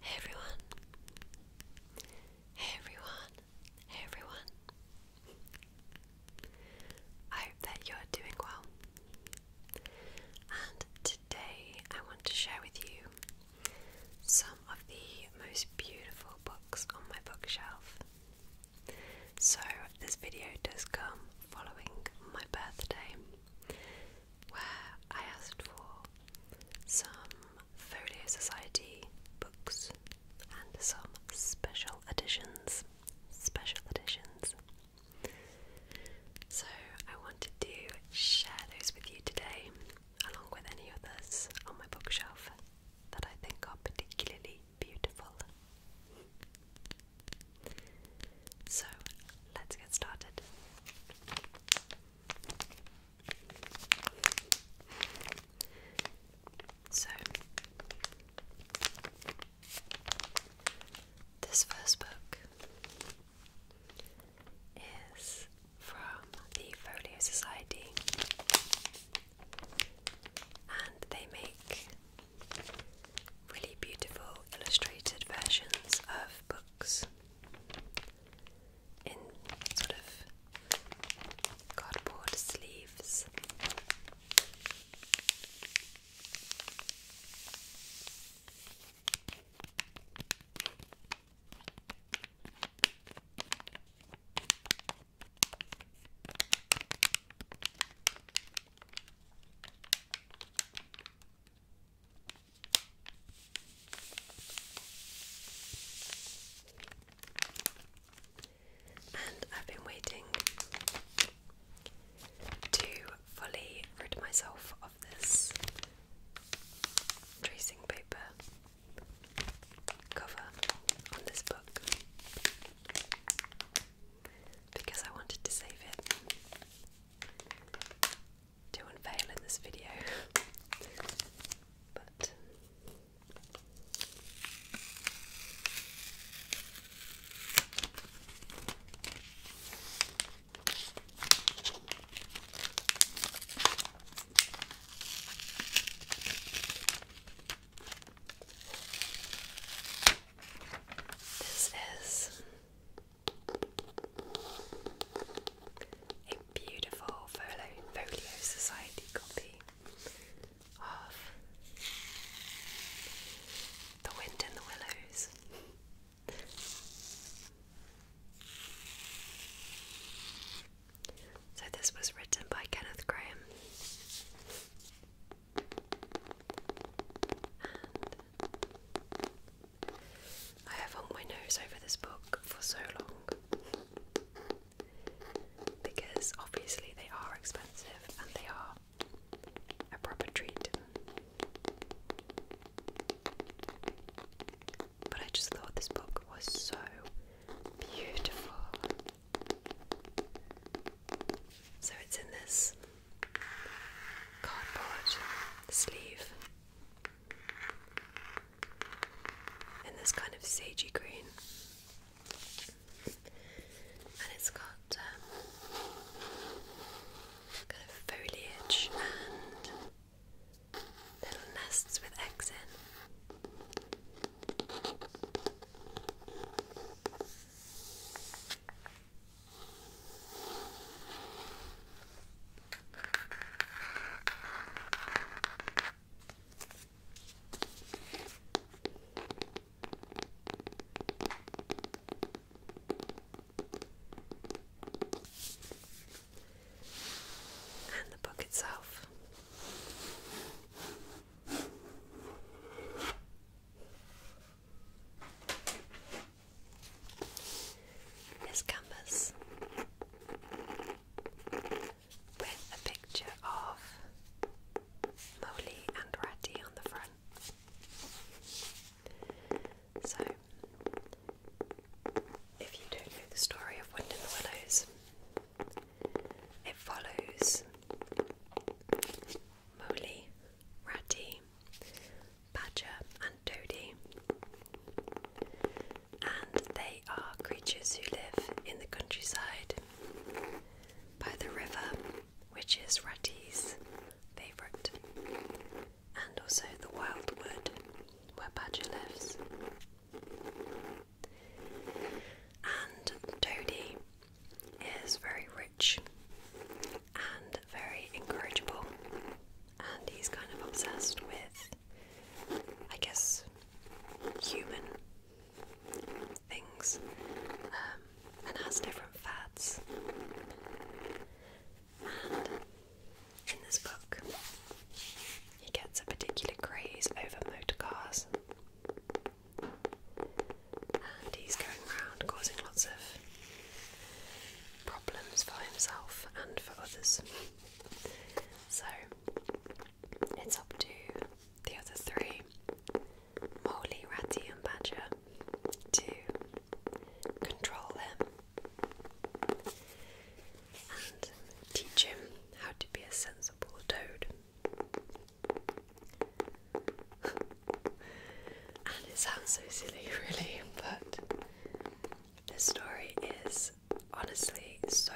Hey everyone. Hey everyone. Hey everyone. I hope that you're doing well. And today I want to share with you some of the most beautiful books on my bookshelf. So, this video does come following my birthday, where I asked for some photo Society books and some special editions. Special editions. So I wanted to share those with you today, along with any others on my bookshelf that I think are particularly beautiful. So let's get started. So, this first book is from the Folio Society, and they make Really beautiful illustrated versions of books in sort of cardboard sleeves. And I've been waiting to fully rid myself of this tracing paper cover on this book because I wanted to save it to unveil in this video, but this is a beautiful folio, society copy of The Wind in the Willows. so this was written by Kenneth Graham. I have hung my nose over this book for so long because obviously they are expensive and they are a proper treat. But I just thought this book was so beautiful. So it's in this cardboard sleeve in this kind of sagey green, and it's got um, kind of foliage and little nests with eggs in. And the book itself. This canvas with a picture of Molly and Ratty on the front. So, if you do know the story of Wind in the Willows, it follows Molly Ratty, Badger, and Dodie. And they are creatures who live in the countryside by the river, which is Ratty's favourite, and also the wild wood where Badger lives. And Dodie is very rich and very incorrigible, and he's kind of obsessed with, I guess, human things um, and has different fads. And in this book, he gets a particular craze over motor cars and he's going around causing lots of problems for himself and for others. So it's up to the other three Molly, Ratty, and Badger to control him and teach him how to be a sensible toad and it sounds so silly, really, but this story is honestly so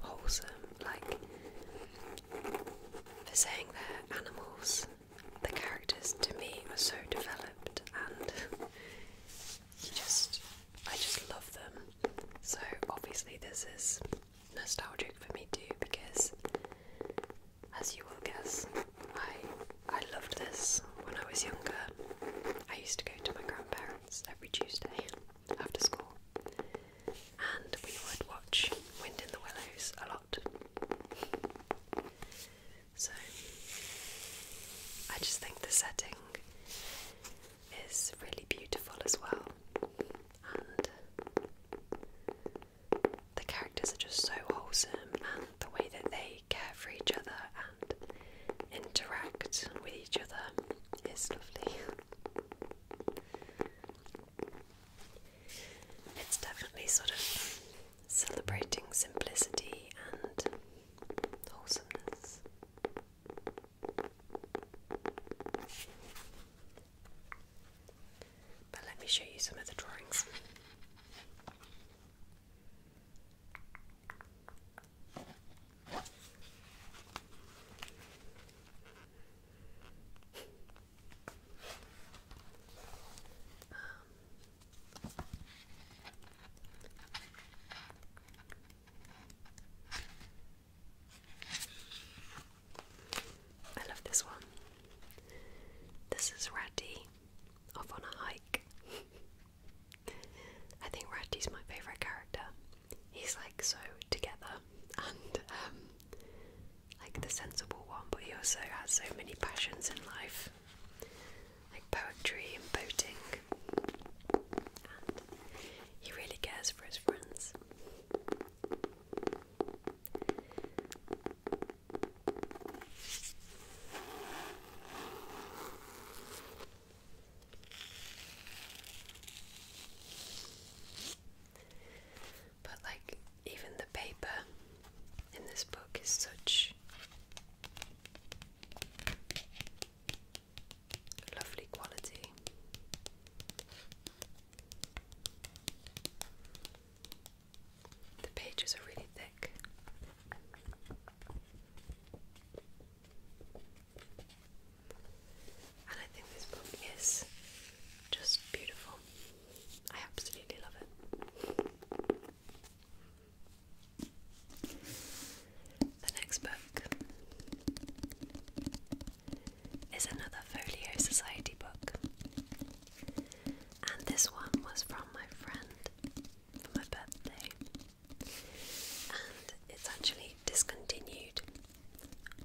wholesome. Like, for saying they're animals, the characters to me are so developed, and just, I just love them. So, obviously, this is nostalgic for me too because as you will guess, I I loved this when I was younger. I used to go to my grandparents every Tuesday after school, and we would watch Wind in the Willows a lot. So I just think the setting is really beautiful as well, and the characters are just so wholesome and the way that they care for each other and interact with each other is lovely. It's definitely sort of celebrating simplicity and wholesomeness. But let me show you some of the drawings. Um, I love this one. This is Ratty off on a hike. I think Ratty's my favourite character. He's like so together and um, like the sensible one, but he also has so many passions in life like poetry and boating. he really cares for his friends. But, like, even the paper in this book is such lovely quality. The pages are really thick. And I think this book is just beautiful. I absolutely love it. The next book is another Folio Society book. And this one was from my friend for my birthday. And it's actually discontinued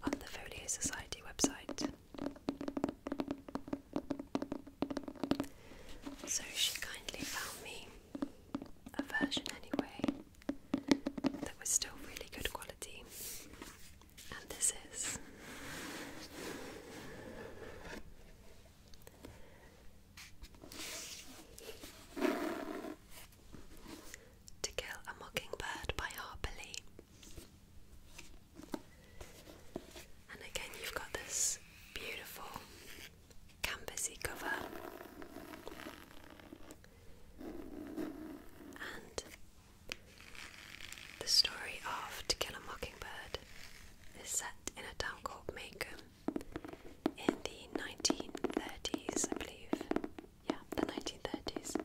on the Folio Society website. So she kindly found me a version anyway that was still really good quality and this is To Kill a Mockingbird by Harper Lee. And again, you've got this beautiful canvasy cover. And the story of To Kill a Mockingbird is set in a town called Macomb in the 1930s, I believe. Yeah, the 1930s.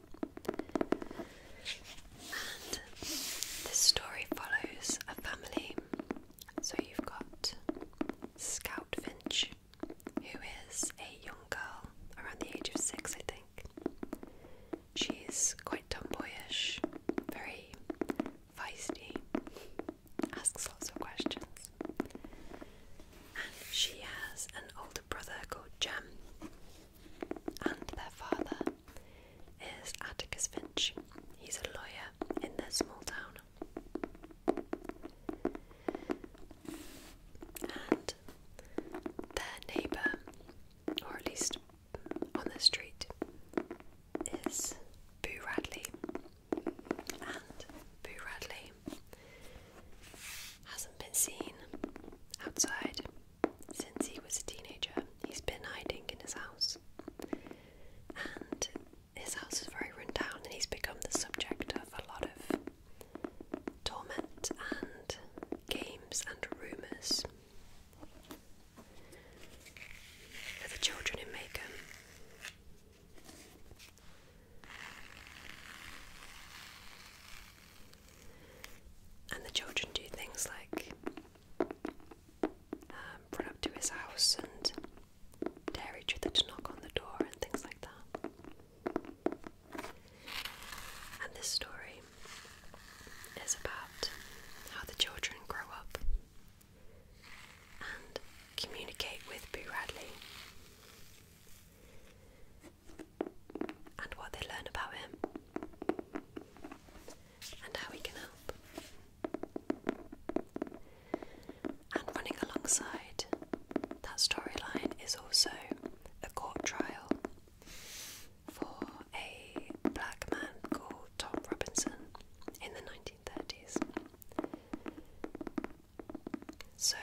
And this story follows a family. So you've got Scout Finch, who is a young girl around the age of six, I think. She's quite tomboyish, very feisty, asks lots of questions. And she has an older brother called Jem, and their father is Atticus Finch. He's a lawyer in their small town. And their neighbour, or at least on the street is Boo Radley, and Boo Radley hasn't been seen outside since he was a teenager. He's been hiding in his house, and his house is very run down, and he's become the subject of a lot of torment and games and rumours for the children in Macon. And the children do things like um, run up to his house and dare each other to knock on the door and things like that. And this story is about how the children grow up and communicate with Boo Radley and what they learn about him and how he can help. And running alongside that storyline is also a court trial for a black man called Tom Robinson in the 1930s. So,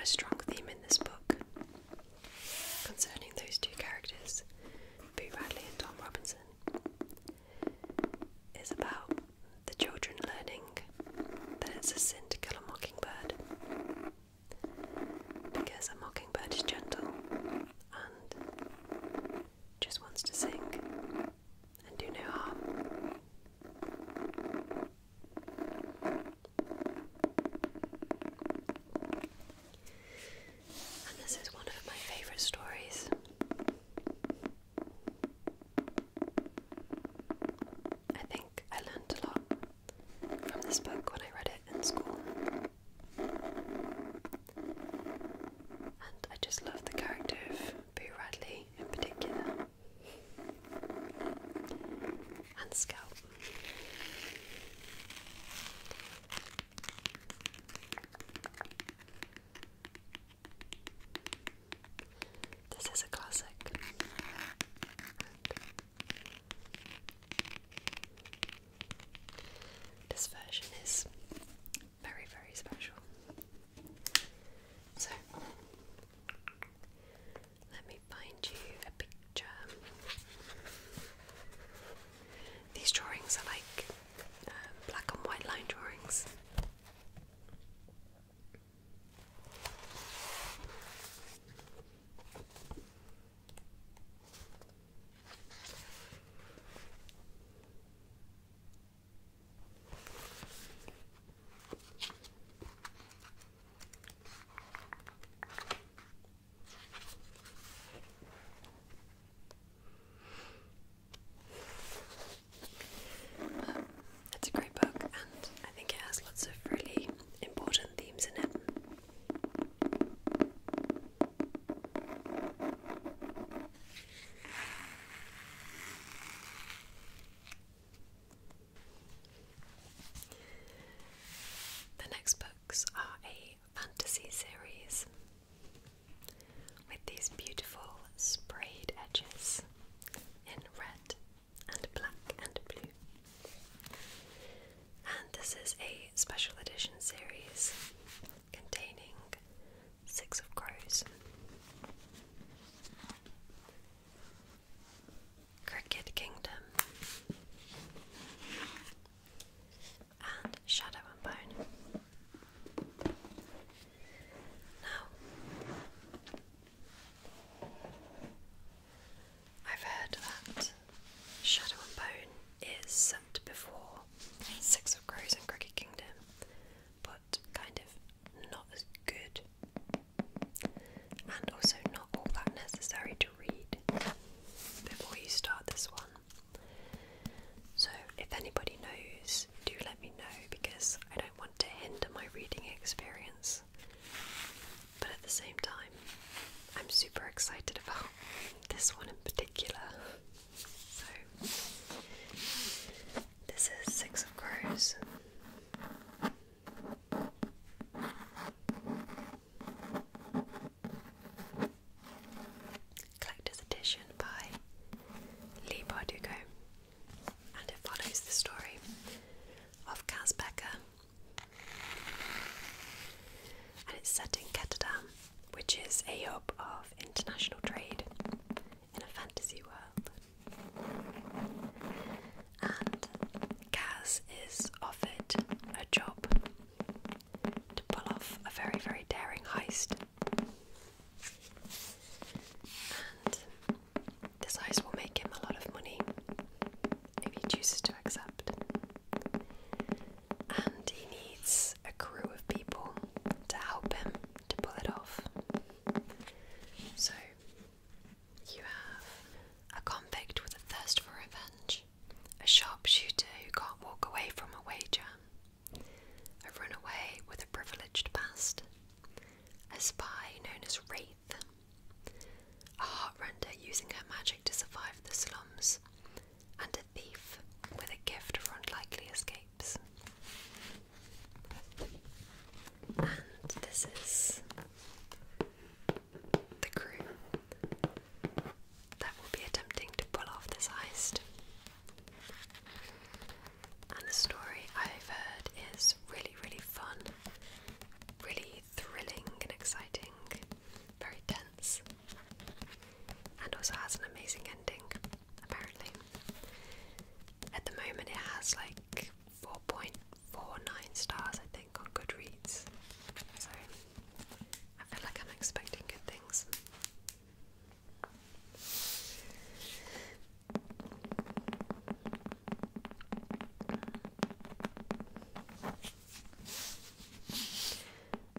a strong theme in this book concerning those two characters, Boo Radley and Tom Robinson, is about the children learning that it's a sin to kill a mockingbird because a mockingbird is gentle and just wants to sink and do no harm. And this is one of my favourite stories. I think I learned a lot from this book when I read it in school. And I just love the character of Boo Radley in particular. And Scalp. This is a classic. This version is very, very special. So, let me find you a picture. These drawings are like uh, black and white line drawings. It's a great book, and I think it has lots of really important themes in it. The next books are a fantasy series with these beautiful sprayed edges in red and black and blue and this is a special edition series containing Six of Crows. Cricket Kingdom and Shadow and Bone. Now, I've heard that Shadow and Bone is set before Six of Crows and Crooked Kingdom, but kind of not as good, and also not all that necessary to read before you start this one. So, if anybody knows, do let me know because I don't want to hinder my reading experience. But at the same time, I'm super excited about this one in particular. So, this is Six of Crows. Collector's Edition by Lee Bardugo, and it follows the story of Kaz and it's set in Ketterdam which is a job of international trade in a fantasy world. And Kaz is offered a job to pull off a very, very daring heist. And this heist will make him a lot of money if he chooses to accept and he needs a crew of people to help him to pull it off. So, you have a convict with a thirst for revenge, a sharpshooter who can't walk away from a wager, a runaway with a privileged past, a spy known as Wraith, a heartrender using her magic to survive the slums, and thief with a gift for likely escapes. And this is the crew that will be attempting to pull off this heist. And the story I've heard is really, really fun, really thrilling and exciting, very dense and also has an amazing ending, apparently. At the moment, it has like 4.49 stars, I think, on Goodreads. So I feel like I'm expecting good things.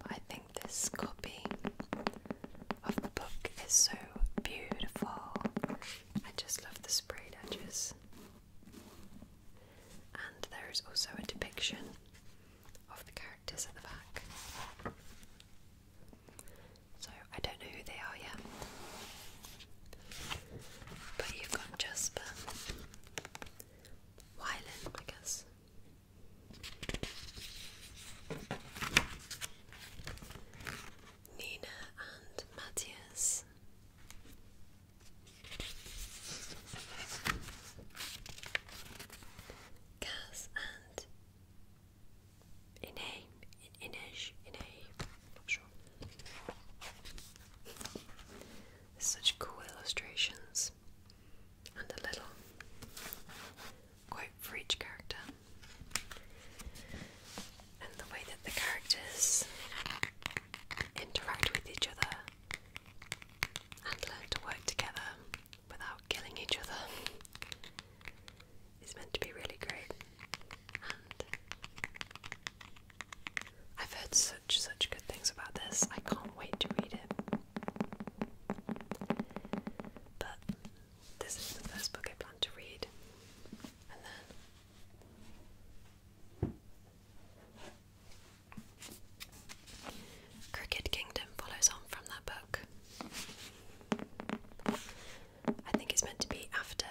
I think this copy of the book is so beautiful. I just love the sprayed edges. And there is also a depiction of the characters at the back. So I don't know who they are yet. But you've got Jasper, Wyland, I guess, Nina and Matthias. Gaz and Ine, In Inej, Ine, not sure. Such cool illustrations and a little quote for character. And the way that the characters interact with each other and learn to work together without killing each other is meant to be really great. I've heard such, such good things about this. I can't wait to read it. But this is the first book I plan to read, and then Cricket Kingdom follows on from that book. I think it's meant to be after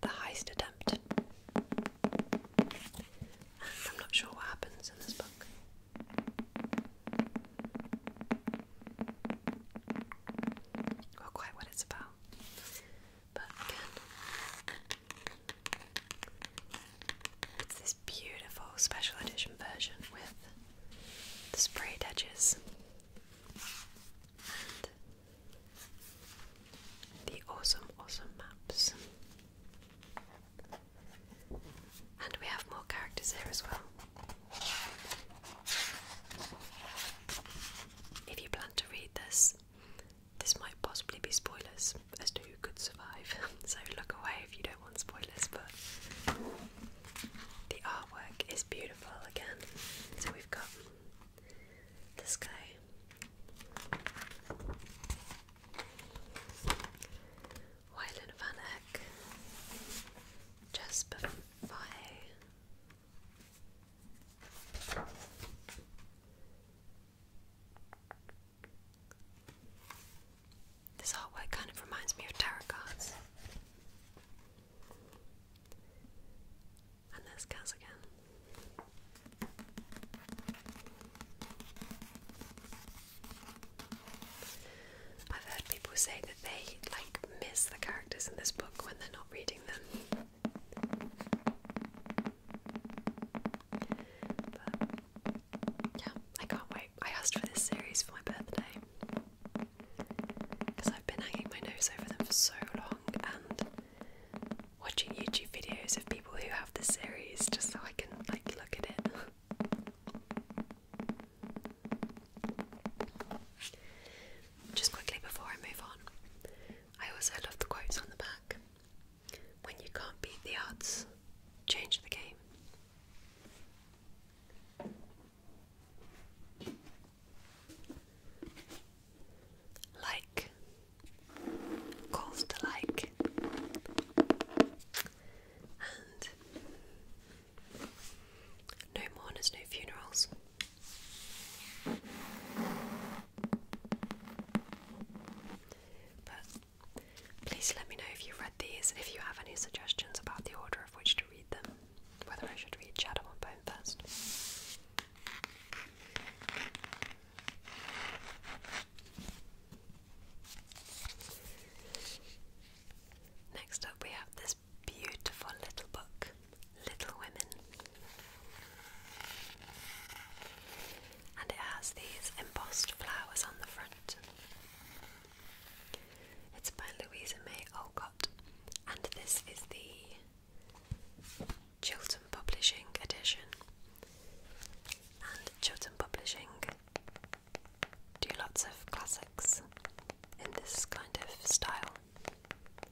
the heist attempt. I'm not sure what happens in this book. Or quite what it's about. But again, it's this beautiful special edition version with the sprayed edges and the awesome, awesome maps. And we have more characters here as well. If you plan to read this, this might possibly be spoilers as to who could survive, so look away if you don't want spoilers. But the artwork is beautiful again. So we've got this guy Wyland Van Eck, Jasper Faye, this artwork kind of reminds me of tarot cards. And there's Kaz again. I've heard people say that they like miss the characters in this book when they're not reading them. yeah, I can't wait. I asked for this series for my birthday because I've been hanging my nose over them for so long and watching YouTube videos of people who have the series just so I can like look at it. Just quickly before I move on, I also love the quotes on the back. When you can't beat the odds, change the game. Like calls to And no mourners, no funerals. But please let me know if you've read these and if you have any suggestions about the order of which to read them, whether I should read Shadow on Bone first. Next up, we have this beautiful little book, Little Women, and it has these embossed flowers on the front. It's by Louisa May Olcott, and this is the Chilton Publishing edition. And Chilton Publishing do lots of classics in this kind of style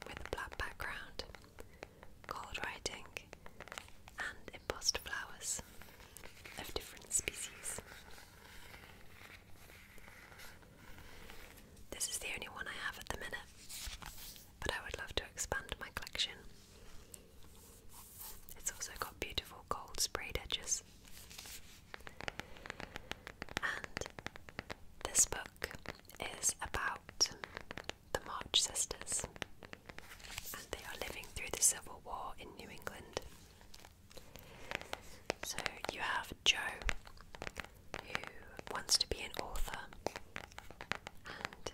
with black background, gold writing, and imposter flowers of different species. This is the only one I have at the minute, but I would love to expand my collection it's also got beautiful gold sprayed edges. And this book is about the March sisters, and they are living through the Civil War in New England. So you have Joe, who wants to be an author, and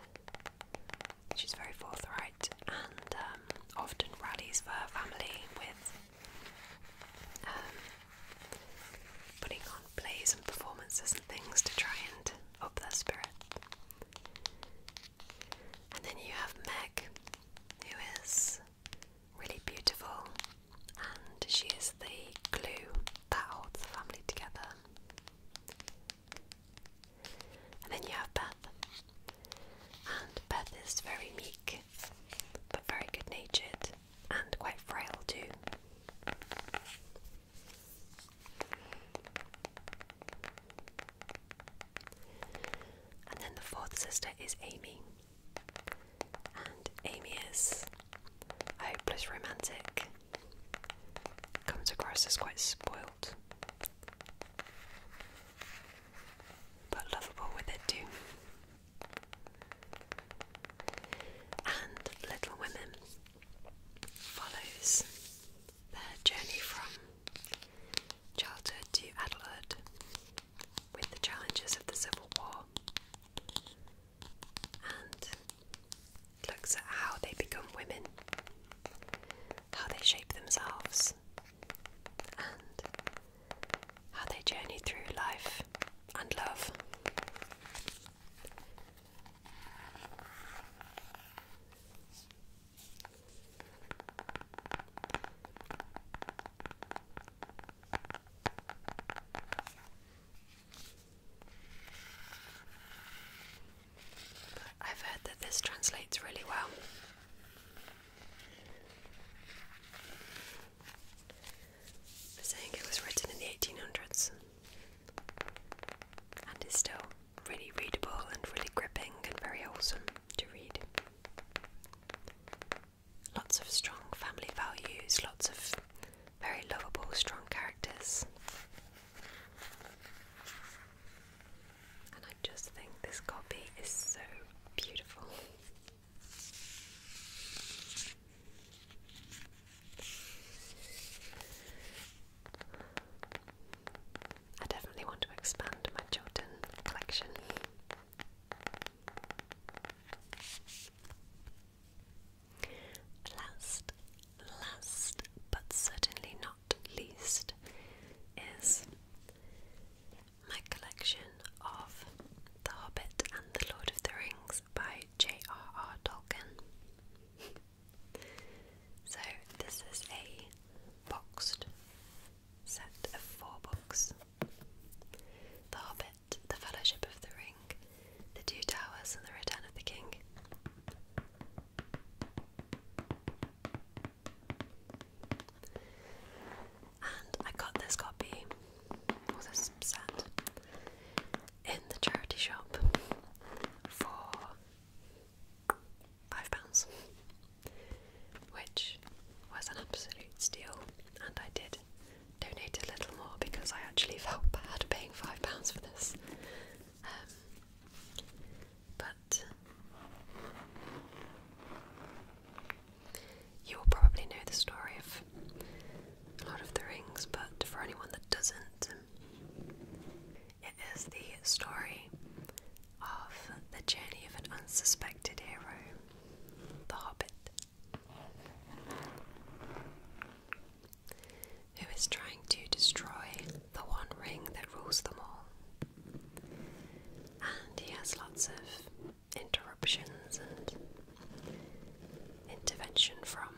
She's very forthright and um, often rallies for her family with um, putting on plays and performances and things to try and up their spirit. And then you have Meg, who is really beautiful, and she is the glue that holds the family together. And then you have Beth. And Beth is very meek, but very good natured and quite frail too. And then the fourth sister is Amy. And Amy is a hopeless romantic. Comes across as quite spoiled but lovable with it too. And Little Women follows their journey from childhood to adulthood with the challenges of the Civil War looks at how they become women, how they shape themselves, and how they journey through life and love. I've heard that this translates really well. saying it was written in the 1800s and is still really readable and really gripping and very wholesome to read. Lots of strong family values, lots of very lovable, strong characters. And I just think this copy is so beautiful. I definitely want to expand my Jordan collection. Last, last, but certainly not least, is my collection of The Hobbit and The Lord of the Rings by J.R.R. Tolkien. so, this is a boxed set of four books The Hobbit, The Fellowship of the Ring, The Two Towers, and The Return of the King. And I got this copy, or oh, this set, in the charity shop for five pounds, which was an absolute steal. And I did donate a little more because I actually felt bad paying five pounds for this. Um, but you will probably know the story of Lord of the Rings, but for anyone that doesn't, um, it is the story of the journey of an unsuspected hero, the Hobbit who is trying to destroy the one ring that rules them all. And he has lots of interruptions and intervention from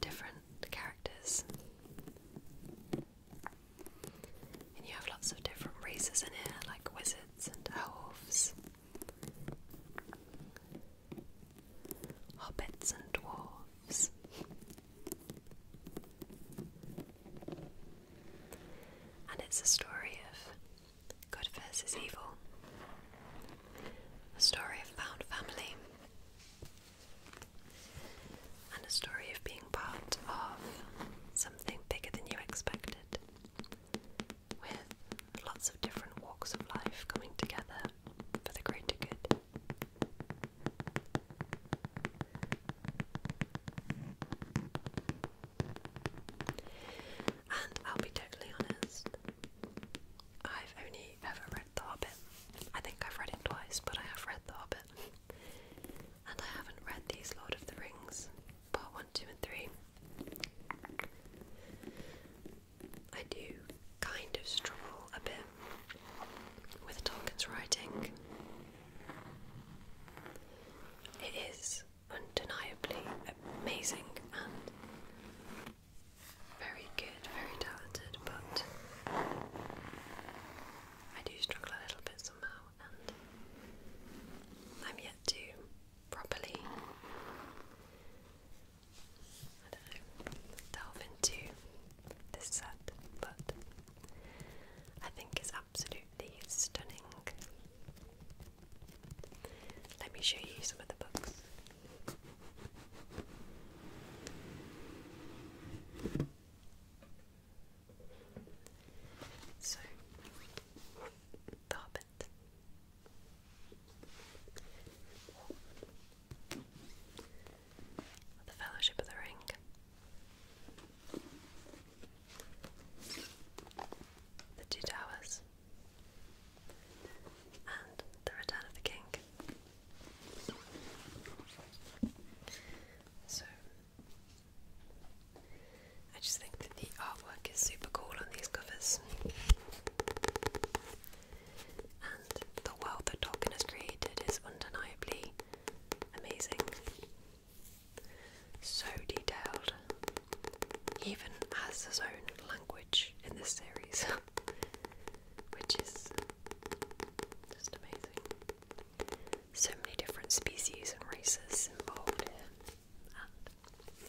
different characters. And you have lots of different races in here, like wizards and elves hobbits and dwarves. And it's a story of good versus evil, a story of found family, and a story of being part of something bigger than you expected, with lots of different walks of life coming together for the greater good. And I'll be totally honest, I've only ever read The Hobbit. I think I've read it twice, but I have read The Hobbit. And I haven't read these Lord of the Rings, part 1, 2, and 3. I do kind of struggle a bit with Tolkien's writing. It is undeniably amazing and very good, very talented, but I do struggle a little bit somehow, and I'm yet to properly delve into this set, but I think it's absolutely stunning. Let me show you some of the books. So, The the Fellowship of the Ring. The Two Towers. And The Return of the King. So, I just think that the artwork is super cool on these covers and the world that Tolkien has created is undeniably amazing. So detailed. even has his own language in this series, which is just amazing. So many different species and races involved and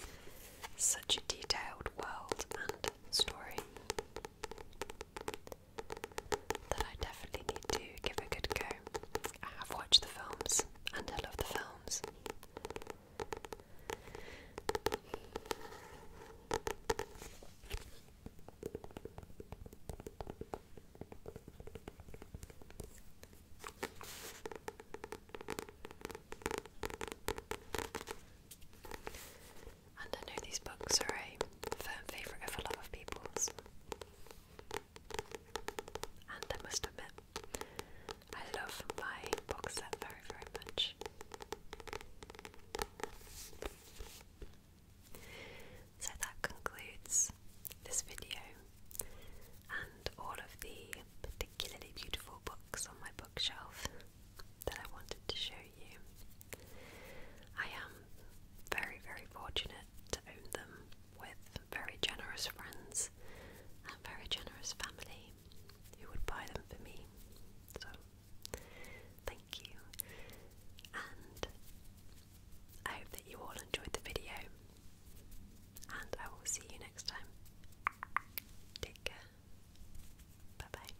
such a detailed world and story that I definitely need to give a good go. I have watched the films and I love the films. And I know these books are a firm favourite of a lot of people's. And I must admit, I love my books set very, very much. So that concludes this video and all of the particularly beautiful books on my bookshelf that I wanted to show you. I am very, very fortunate to own them with very generous friends and very generous family who would buy them for me. So, thank you. And I hope that you all enjoyed the video. And I will see you next time. Take care. Bye bye.